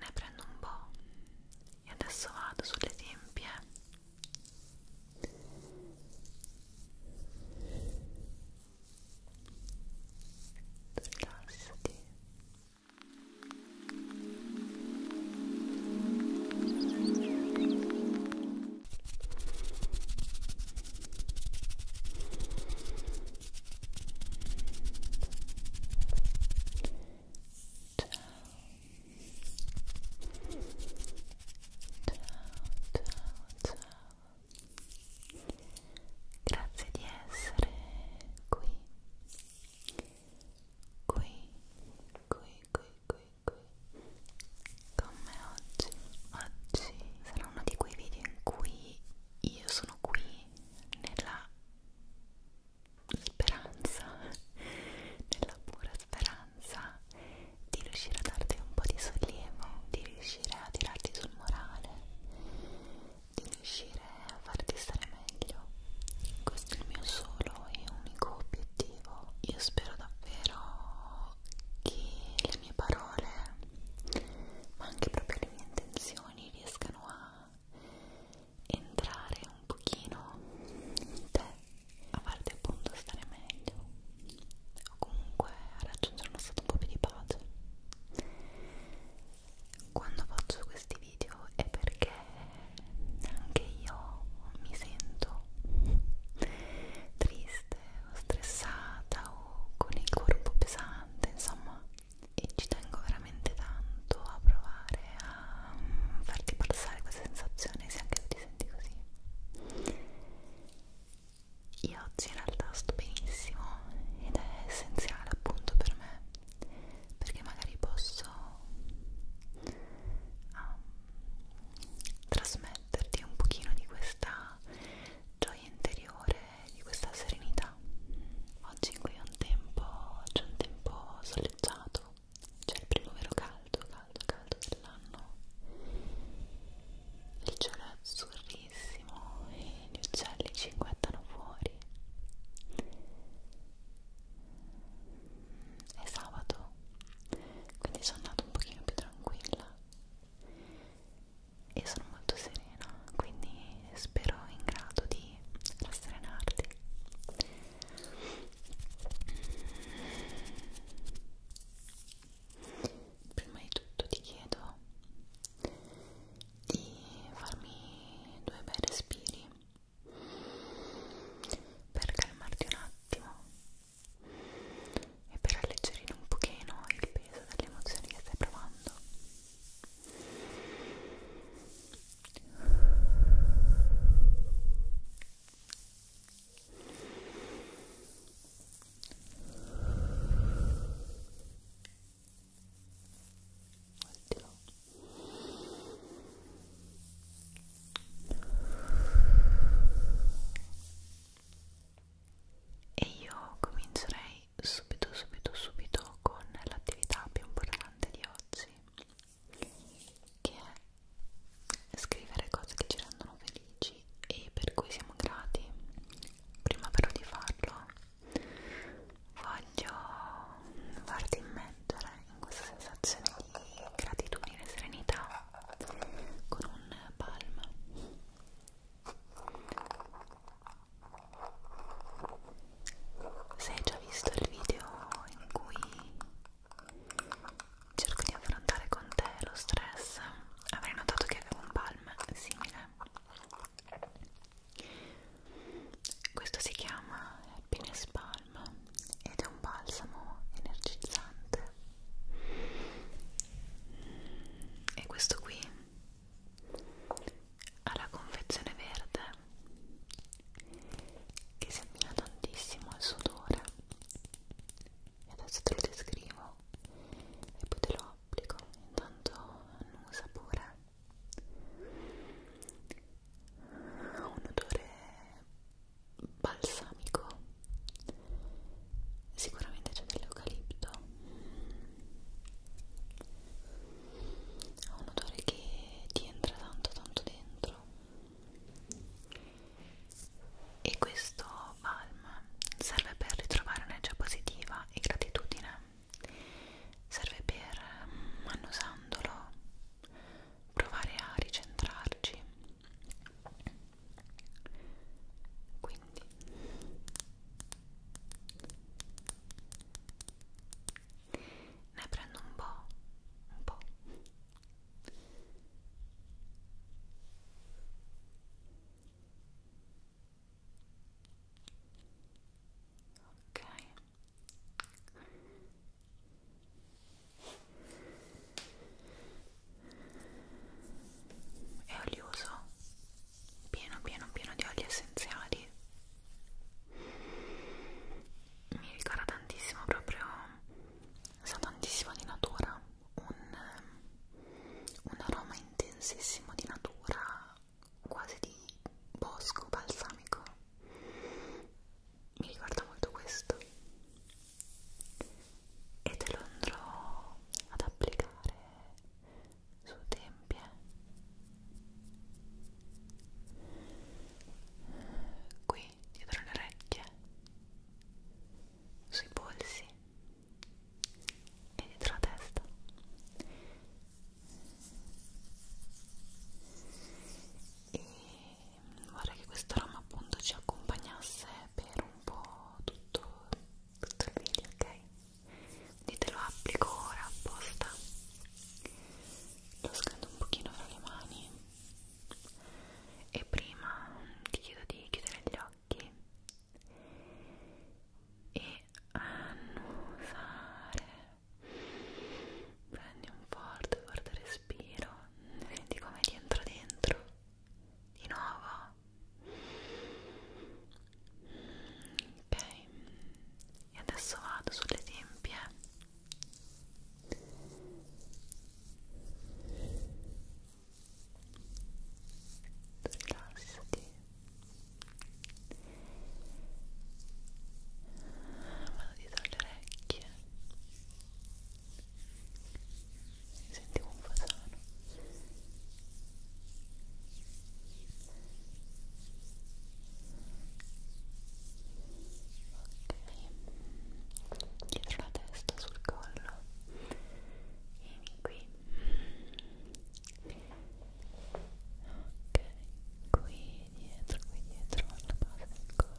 Ne prendo un po' e adesso vado sulle tempie. Rilassati ciao, grazie di essere qui qui qui qui qui qui con me oggi. Oggi sarà uno di quei video in cui io sono qui nella speranza, nella pura speranza di riuscire a darti un po' di sollievo, di riuscire a tirarti sul morale, di riuscire a farti stare meglio. Questo è il mio solo e unico obiettivo. Io spero davvero occhi, le mie parole, ma anche proprio le mie intenzioni riescano a entrare un pochino in te, a farti appunto stare meglio o comunque a raggiungere uno stato un po' più di pace. Quando faccio questi video è perché anche io mi sento triste o stressata o con il corpo pesante, insomma, e ci tengo veramente tanto a provare a mm, farti passare questa sensazione se anche tu ti senti così. Io oggi in realtà sto benissimo ed è essenziale appunto per me perché magari posso um, ah, trasmettere perderti un pochino di questa gioia interiore, di questa serenità. Oggi qui è un tempo, c'è un tempo soleggiato, c'è il primo vero caldo, caldo, caldo dell'anno. Il cielo è azzurrissimo e gli uccelli cinguettano fuori. È sabato quindi sono andata un pochino più tranquilla e sono molto serena quindi spero in grado di rasserenarti prima di tutto ti chiedo di farmi due bei respiri per calmarti un attimo e per alleggerire un pochino il peso delle emozioni che stai provando Ottimo e io comincerei subito subito subito con l'attività più importante di oggi che è scrivere cose che ci rendono felici e per cui siamo grati prima però di farlo voglio farti immettere in questa sensazione di gratitudine e serenità con un palm se hai già visto il video in cui cerco di affrontare con te lo stress avrai notato che avevo un palm simile questo si chiama Happiness Palm calma ed è un balsamo energizzante e questo qui ha la confezione verde che si abbina tantissimo al suo odore e adesso te lo descrivo e poi te lo applico intanto annusa pure ha un odore balsamico sicuramente c'è dell'eucalipto ha un odore che ti entra tanto tanto dentro e questo balm serve per ritrovare energia positiva e gratitudine serve per annusandolo provare a ricentrarci quindi ne prendo un po', un po'. Ok è olioso pieno pieno pieno di oli essenziali mi ricorda tantissimo proprio sa tantissimo di natura un, un aroma intensissimo di natura quasi di bosco balsamico mi ricorda molto questo e te lo andrò ad applicare su tempie eh. qui dietro le orecchie sui polsi e dietro la testa e vorrei che questo ramo appunto ci accompagnasse per un po' tutto, tutto il video, ok? Quindi te lo applico ora apposta, lo scando un pochino fra le mani e prima ti chiedo di chiudere gli occhi e annusare prendi un forte, forte respiro, vedi come ti entra dentro, di nuovo, ok, e adesso vado sulle tempie, rilassati, vado dietro le orecchie mi sentivo un fasano ok dietro la testa sul collo vieni qui ok qui dietro qui dietro alla base del collo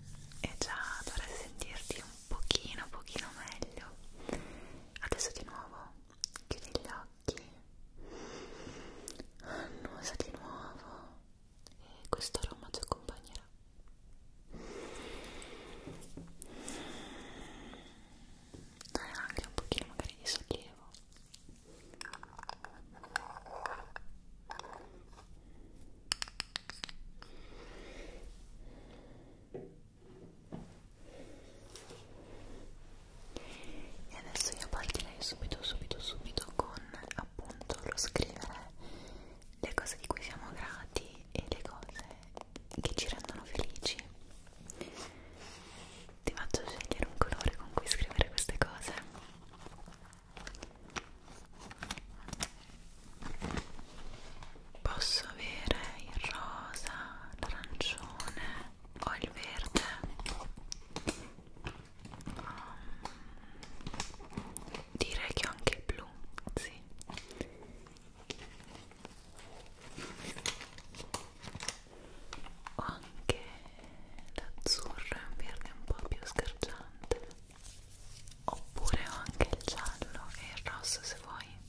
e già dovrai sentirti un pochino pochino meglio adesso di nuovo chiudi gli occhi annusa di nuovo e questo aroma ti accompagnerà dai anche un pochino magari di sollievo e adesso io partirei subito subito subito con appunto lo scrivere le cose di cui siamo grati e le cose che ci rendono felici ti faccio scegliere un colore con cui scrivere queste cose Posso avere il rosa, l'arancione o il verde? Um, direi che ho anche il blu, sì. Ho anche l'azzurro, è un verde un po' più scarciante oppure ho anche il giallo e il rosso se vuoi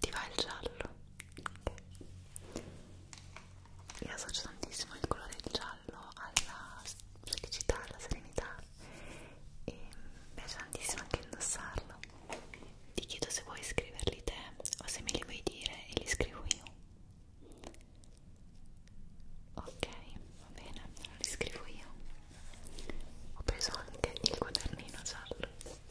ti va il giallo okay. io associo tantissimo il colore del giallo alla felicità, alla serenità e mi piace tantissimo anche indossarlo ti chiedo se vuoi scriverli te o se me li vuoi dire e li scrivo io ok va bene lo riscrivo io ho preso anche il quadernino giallo ok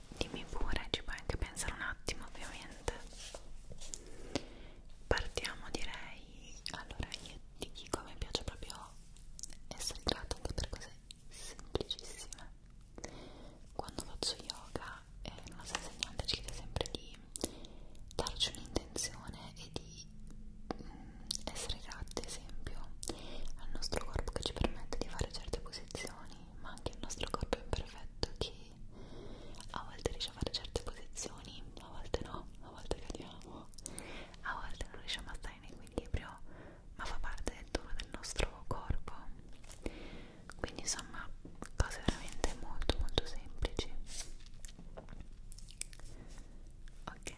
dimmi pure, ci puoi anche pensare un attimo ovviamente partiamo direi allora io ti dico mi piace proprio essere grata anche per cose semplicissime quando faccio yoga eh, la nostra insegnante ci chiede sempre di darci un'intenzione e di mh, mm, essere grati ad esempio al nostro corpo che ci permette di fare certe posizioni ma anche il nostro corpo imperfetto che a volte riesce a fare certe posizioni, a volte no, a volte cadiamo, a volte non riusciamo a stare in equilibrio, ma fa parte del tono del nostro corpo. Quindi insomma, cose veramente molto molto semplici. Ok.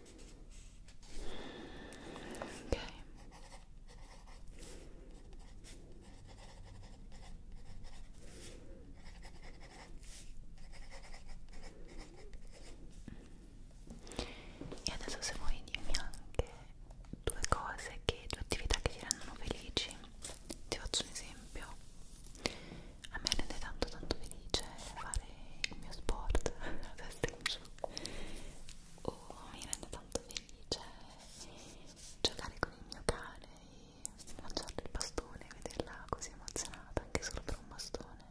ok e adesso se vuoi dimmi anche due cose che due attività che ti rendono felici ti faccio un esempio a me rende tanto tanto felice fare il mio sport la stringe oh, mi rende tanto felice giocare con il mio cane e mangiarle il bastone e vederla così emozionata anche solo per un bastone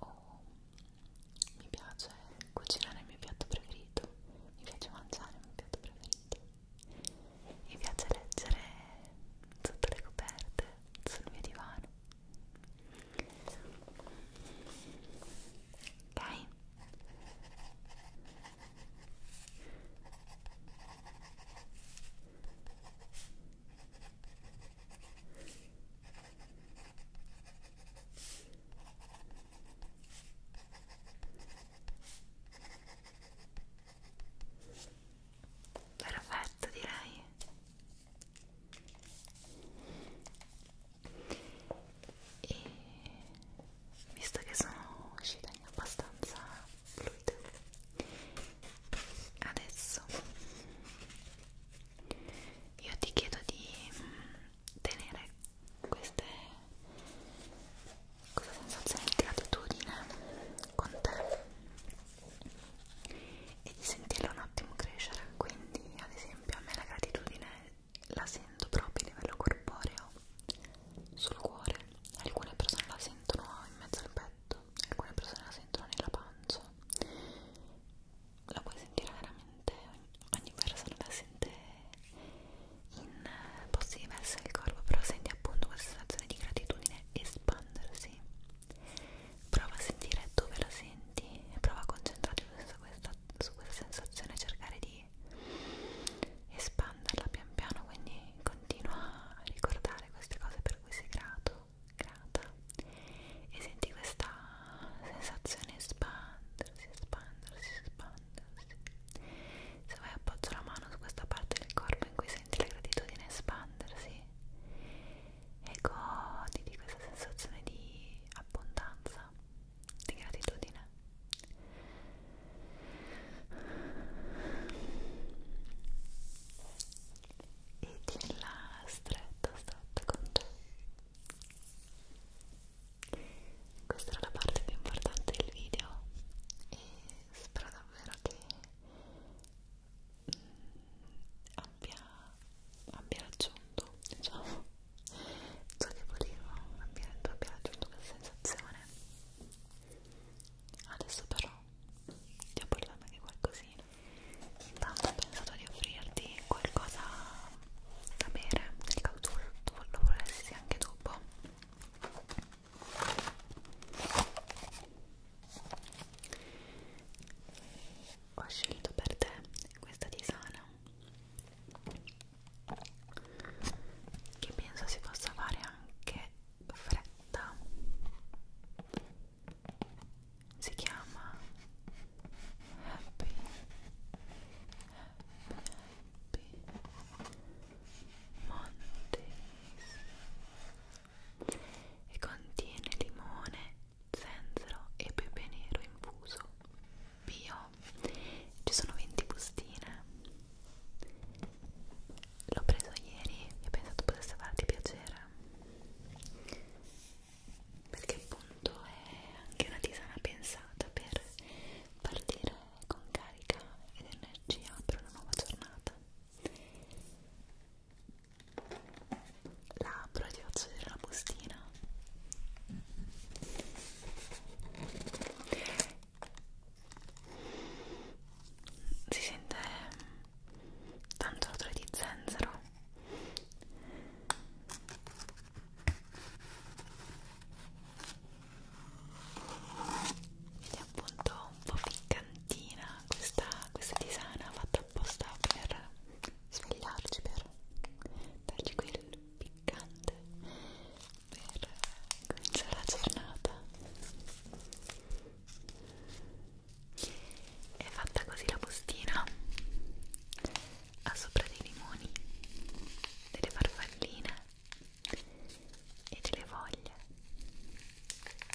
oh, mi piace cucinare il mio piatto preferito mi piace mangiare il mio piatto preferito mi piace leggere sotto le coperte sul mio divano ok perfetto direi e visto che sono uscita in abbastanza fluida adesso io ti chiedo di mm, tenere queste questa sensazione di gratitudine con te e di sentirla un attimo crescere quindi ad esempio a me la gratitudine la sento proprio a livello corporeo sul cuore alcune persone la sentono in mezzo al petto alcune persone la sentono nella pancia la puoi sentire veramente ogni persona la sente in posti diversi del corpo però senti appunto questa sensazione di gratitudine espandersi prova a sentire dove la senti e prova a concentrarti su questa, su questa sensazione cercare di espanderla pian piano quindi continua a ricordare queste cose per cui sei grato grata e senti questa sensazione espandersi espandersi espandersi se vai appoggio la mano su questa parte del corpo in cui senti la gratitudine espandersi e godi di questa sensazione di abbondanza, di gratitudine. E di là stretto, stretto con te. Questa era la parte più importante del video e spero davvero che abbia, abbia raggiunto, diciamo, ciò che volevo, abbia, tu abbia raggiunto questa sensazione. Adesso però ti ho parlato di qualcosina. Intanto ho pensato di offrirti qualcosa da bere, nel caso tu lo volessi anche dopo ho scelto per te questa tisana che penso si possa fare anche fredda si chiama happy happy happy mondays e contiene limone, zenzero e pepe nero infuso bio. Ci sono 20 bustine. L'ho preso ieri e ho pensato potesse farti piacere perché appunto è anche una tisana pensata per partire con carica ed energia per una nuova giornata la apro e ti faccio vedere la bustina si sente tanto odore di zenzero ed è appunto un po' piccantina questa, questa tisana fatta apposta per svegliarci, per dargli quel piccante per cominciare la giornata. È fatta così la postina ha sopra dei limoni, delle farfalline e delle voglie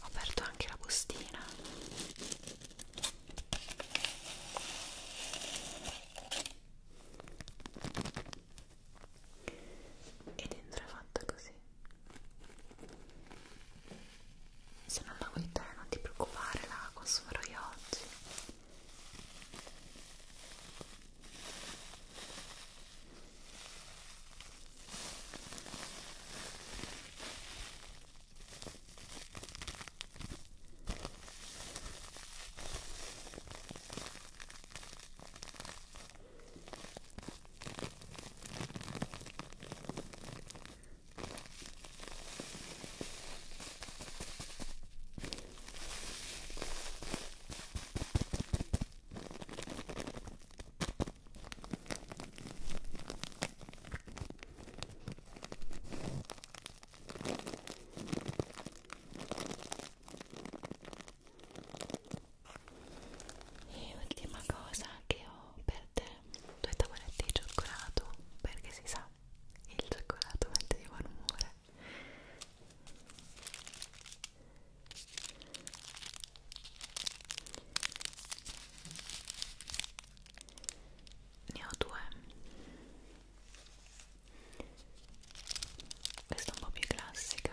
Ho aperto anche la bustina. E dentro è fatta così. Se non la vuoi te non ti preoccupare, la consumerò io oggi. E ultima cosa che ho per te due tavoletti di cioccolato perché si sa il cioccolato mette di buon umore ne ho due questa è un po' più classica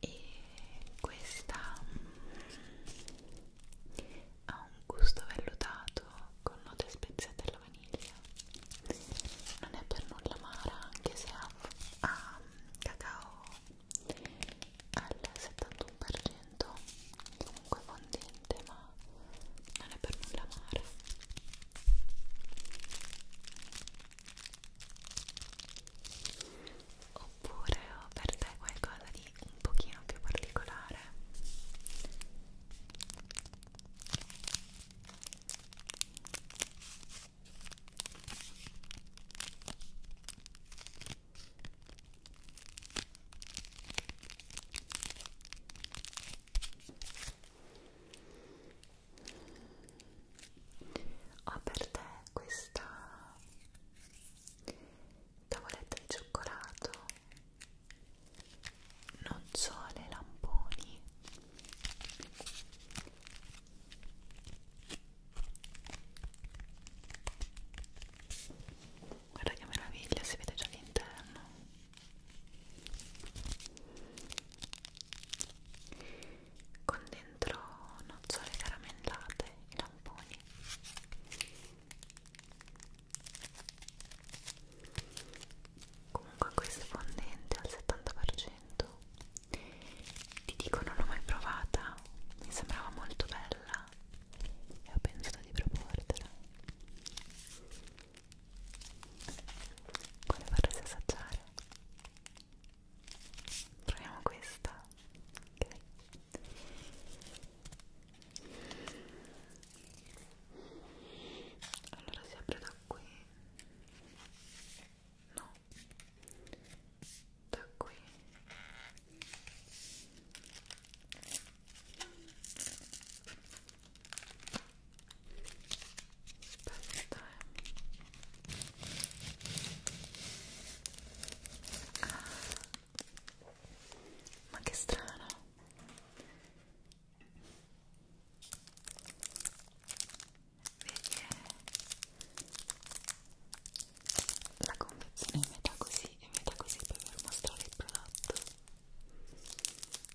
e questa mm, ha un gusto vellutato con note speziate alla vaniglia non è per nulla amara anche se ha, ha mm, cacao al 71% comunque fondente ma non è per nulla amara oppure ho per te qualcosa di un pochino più particolare ho per te questa tavoletta di cioccolato nocciole lamponi guarda che meraviglia si vede già l'interno con dentro nocciole caramellate e lamponi comunque questo è fondente al 70% ti dico non l'ho mai provata mi sembrava molto bella e ho pensato di proportela quale vorresti assaggiare? proviamo questa ok allora si apre da qui no da qui aspetta eh. ah. ma che strano vedi eh. la confezione è metà così e metà così per mostrare il prodotto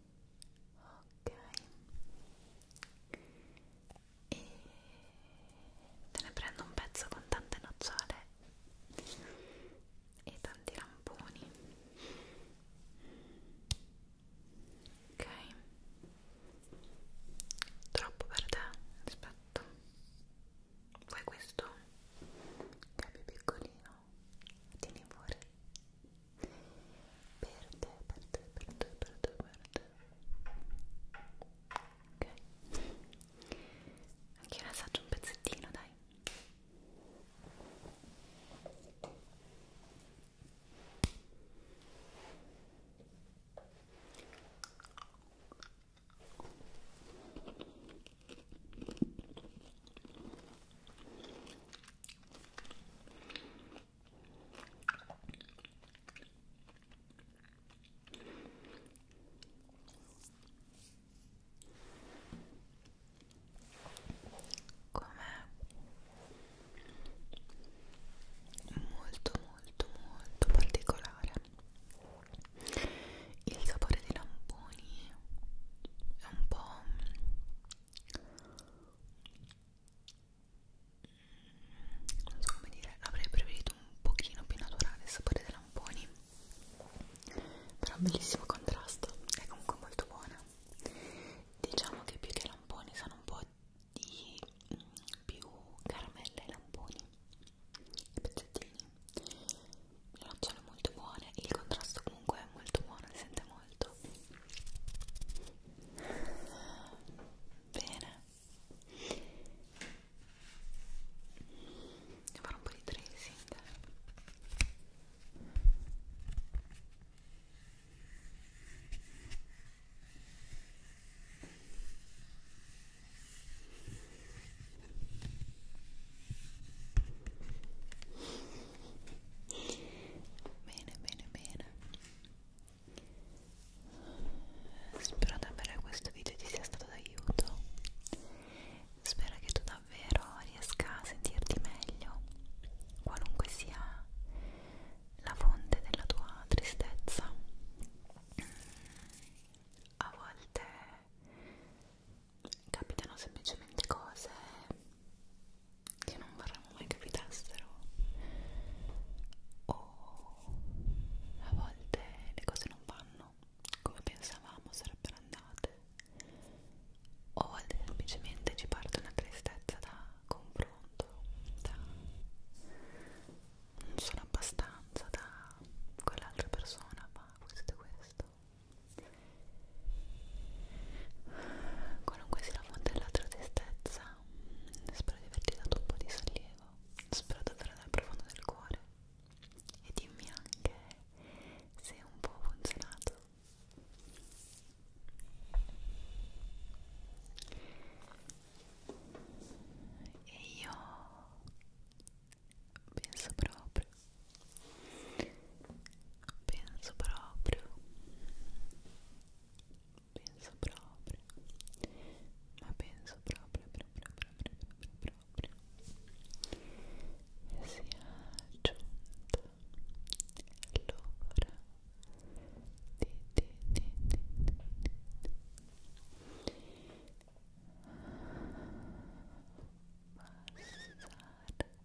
ok e te ne prendo un pezzo con tante nocciole e tanti ramponi ok troppo per te aspetta vuoi questo? che è più piccolino tieni fuori per te, per te, per te, per te, per te ok anche io assaggio un pezzettino dai Com'è molto molto molto particolare il sapore dei lamponi è un po' non so come dire, avrei preferito un pochino più naturale il sapore dei lamponi però bellissimo contrasto, è comunque molto buona diciamo che più che lamponi sono un po' di più caramelle ai lamponi i pezzettini le nocciole molto buone il contrasto comunque è molto buono si sente molto molto bene devo fare un po' di tracing Bene, bene, bene. Spero davvero che questo video ti sia stato d'aiuto. Spero che tu davvero riesca a sentirti meglio, qualunque sia la fonte della tua tristezza. A volte capitano semplicemente cose che non vorremmo mai capitassero o a volte le cose non vanno come pensavamo sarebbero andate o a volte semplicemente ci parte una tristezza da confronto da non sono abbastanza da quell'altra persona ma questo è questo Qualunque sia la fonte della tua tristezza spero di averti dato un po' di sollievo spero davvero dal profondo del cuore e dimmi anche se è un po' funzionato e io penso proprio penso proprio penso proprio ma penso proprio proprio proprio proprio proprio e sia giunta l'ora di di di di di di passare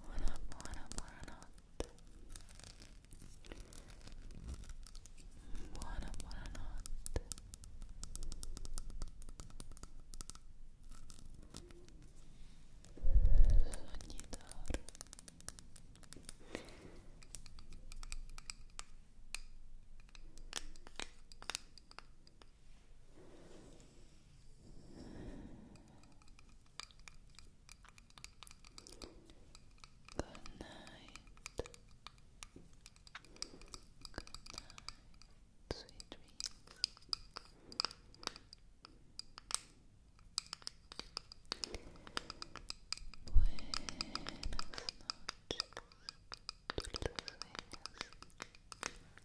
Buona, buona, buonanotte. Buona, Buona, buona, buona, buona, Good night. Good night. Sweet dreams. Buenas noches. Buenas noches.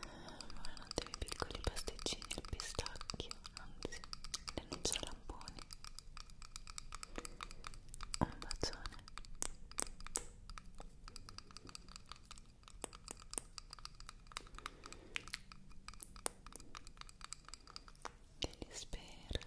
Buonanotte i piccoli pasticcini al pistacchio, anzi, le nocciole lamponi. Un bacione. Che li spera.